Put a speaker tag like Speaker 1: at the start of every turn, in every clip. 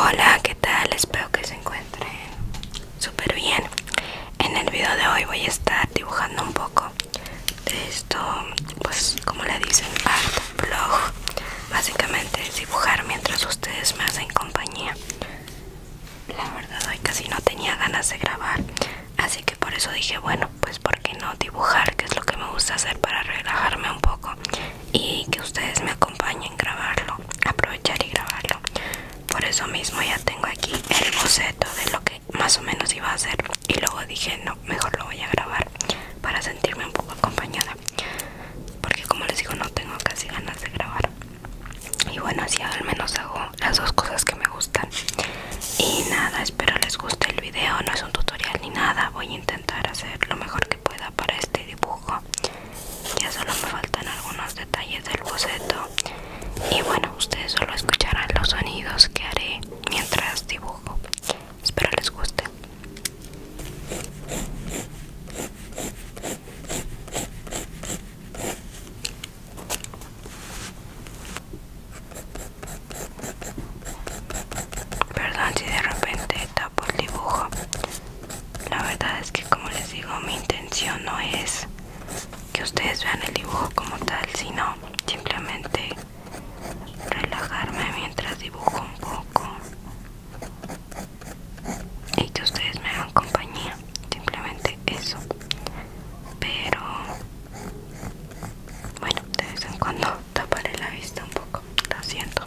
Speaker 1: Hola, ¿qué tal? Espero que se encuentren súper bien en el video de hoy voy a estar dibujando un poco esto pues como le dicen art blog básicamente es dibujar mientras ustedes me hacen compañía la verdad hoy casi no tenía ganas de grabar así que por eso dije bueno pues por qué no dibujar que es lo que me gusta hacer para relajarme un poco y que ustedes me acompañen grabarlo aprovechar y grabarlo por eso mismo ya tengo aquí el boceto de lo que más o menos iba a hacer y luego dije no mejor lo voy a grabar para sentirme un poco acompañada porque como les digo no tengo casi ganas de grabar y bueno así al menos hago las dos cosas que me gustan y nada espero les guste el video no es un tutorial ni nada voy a intentar hacer lo mejor que pueda para este dibujo ya solo me faltan algunos detalles del boceto y bueno ustedes solo escucharán los sonidos que haré mientras dibujo espero les guste Perdón si de repente tapo el dibujo, la verdad es que como les digo mi intención no es que ustedes vean el dibujo como tal sino simplemente relajarme mientras dibujo un poco y que ustedes me hagan compañía simplemente eso pero bueno de vez en cuando taparé la vista un poco lo siento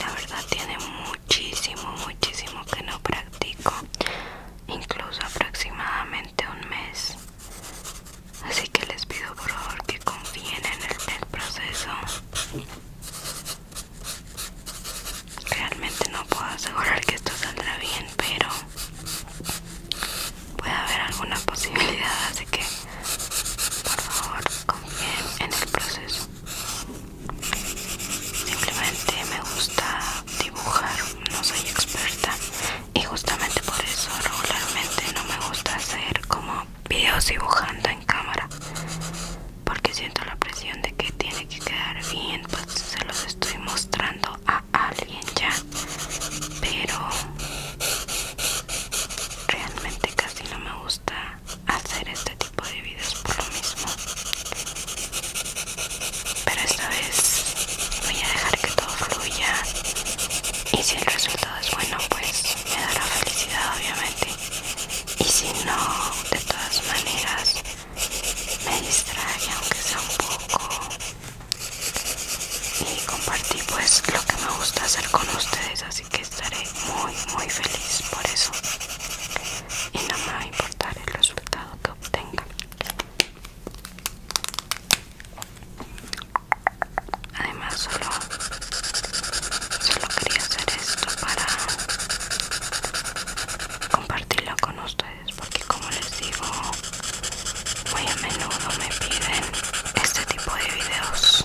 Speaker 1: La verdad tiene muchísimo, muchísimo que no practico incluso aproximadamente un mes. Así que les pido por favor que confíen en el, proceso. Realmente no puedo asegurar que esto saldrá bien, pero puede haber alguna posibilidad, así que por favor confíen en el proceso. Simplemente me gusta dibujar no soy experta y justamente por eso regularmente no me gusta hacer como videos dibujando en cámara porque siento la presión de que tiene que quedar bien pues se los estoy mostrando a alguien ya pero realmente casi no me gusta hacer este tipo de videos por lo mismo pero esta vez voy a dejar que todo fluya y si el resultado es bueno pues me dará felicidad obviamente y si no de todas maneras me distrae aunque sea un poco y compartí pues lo que me gusta hacer con ustedes así que estaré muy muy feliz por eso y no me va a importar el resultado que obtenga Además solo, solo quería hacer esto para compartirlo con ustedes porque como les digo muy a menudo me piden este tipo de videos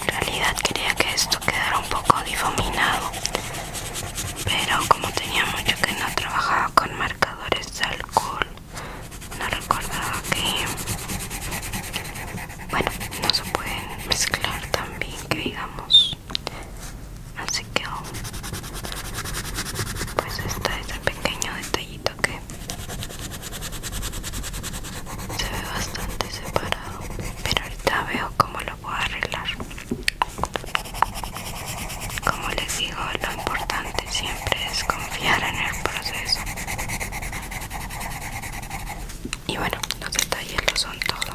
Speaker 1: En realidad quería que esto quedara un poco difuminado, pero como tenía mucho que no trabajaba con marcadores de alcohol, no recordaba que, bueno, no se pueden mezclar tan bien que digamos. Así que, pues este es este el pequeño detallito que se ve bastante separado pero ahorita veo cómo lo puedo arreglar como les digo lo importante siempre es confiar en el proceso y bueno los detalles lo son todo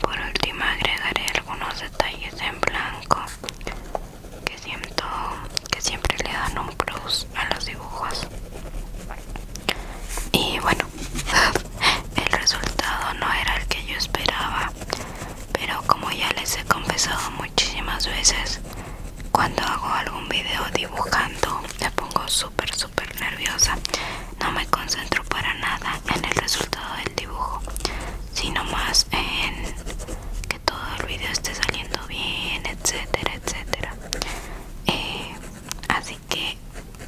Speaker 1: Por último agregaré algunos detalles en blanco que siento que siempre le dan un plus a los dibujos. Y bueno, el resultado no era el que yo esperaba, pero como ya les he confesado muchísimas veces, cuando hago algún video dibujando me pongo súper súper nerviosa. No me concentro para nada en el resultado del dibujo, sino más en que todo el video esté saliendo bien, etcétera, etcétera. Eh, así que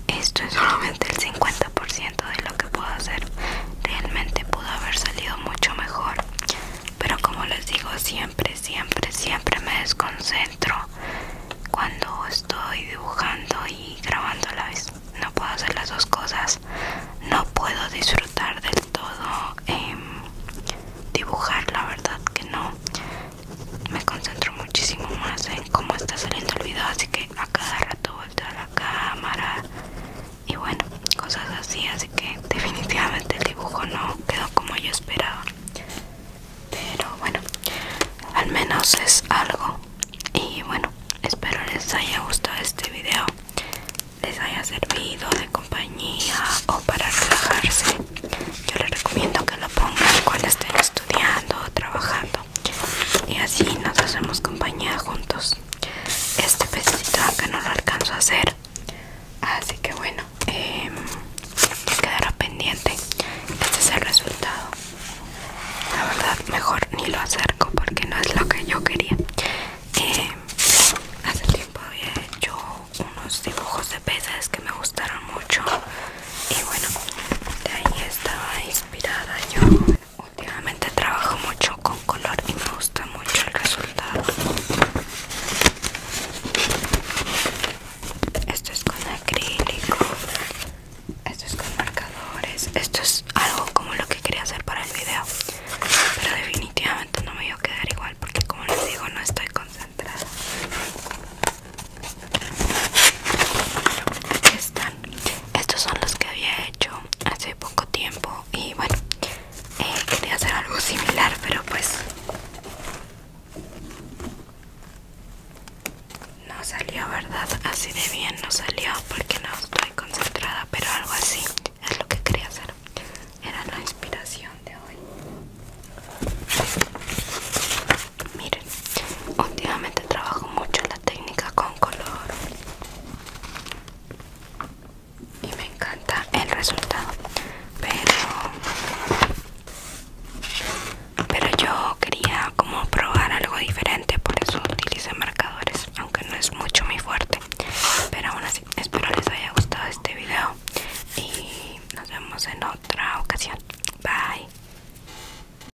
Speaker 1: esto es solamente el 50% de lo que puedo hacer. Realmente pudo haber salido mucho mejor. Pero como les digo, siempre, siempre, siempre me desconcentro cuando estoy dibujando y grabando a la vez. No puedo hacer las dos cosas. No puedo disfrutar del todo em, dibujar, la verdad que no. Me concentro muchísimo más en cómo está saliendo el video, así que a cada rato la cámara y bueno, cosas así, así que definitivamente el dibujo no quedó como yo esperaba. Pero bueno, al menos es algo. Y bueno, espero les haya gustado este vídeo les haya servido de compañía o para relajarse. Yo les recomiendo que lo pongan cuando estén estudiando o trabajando y así nos hacemos compañía juntos este pececito Aunque no lo alcanzo a hacer así que bueno em, quedará pendiente este es el resultado la verdad mejor ni lo acerco porque no es lo que yo quería em, hace tiempo había hecho unos dibujos de peces que me gustaron mucho y bueno de ahí estaba inspirada yo Últimamente trabajo mucho con color y me gusta mucho el resultado. Esto es con acrílico. Esto es con marcadores. Esto es algo como lo que quería hacer para el video. Pero definitivamente no me iba a quedar igual porque como les digo no estoy concentrada. Aquí están estos son los que había hecho hace poco tiempo y bueno eh, quería hacer algo similar pero pues no salió verdad así de bien no salió porque no estoy concentrada pero algo así es lo que quería hacer era la inspiración de hoy Miren. Últimamente trabajo mucho la técnica con color y me encanta el resultado. Pero, pero yo quería como probar algo diferente, por eso utilicé marcadores, aunque no es mucho mi fuerte. Pero aún así, espero les haya gustado este video y nos vemos en otra ocasión. Bye.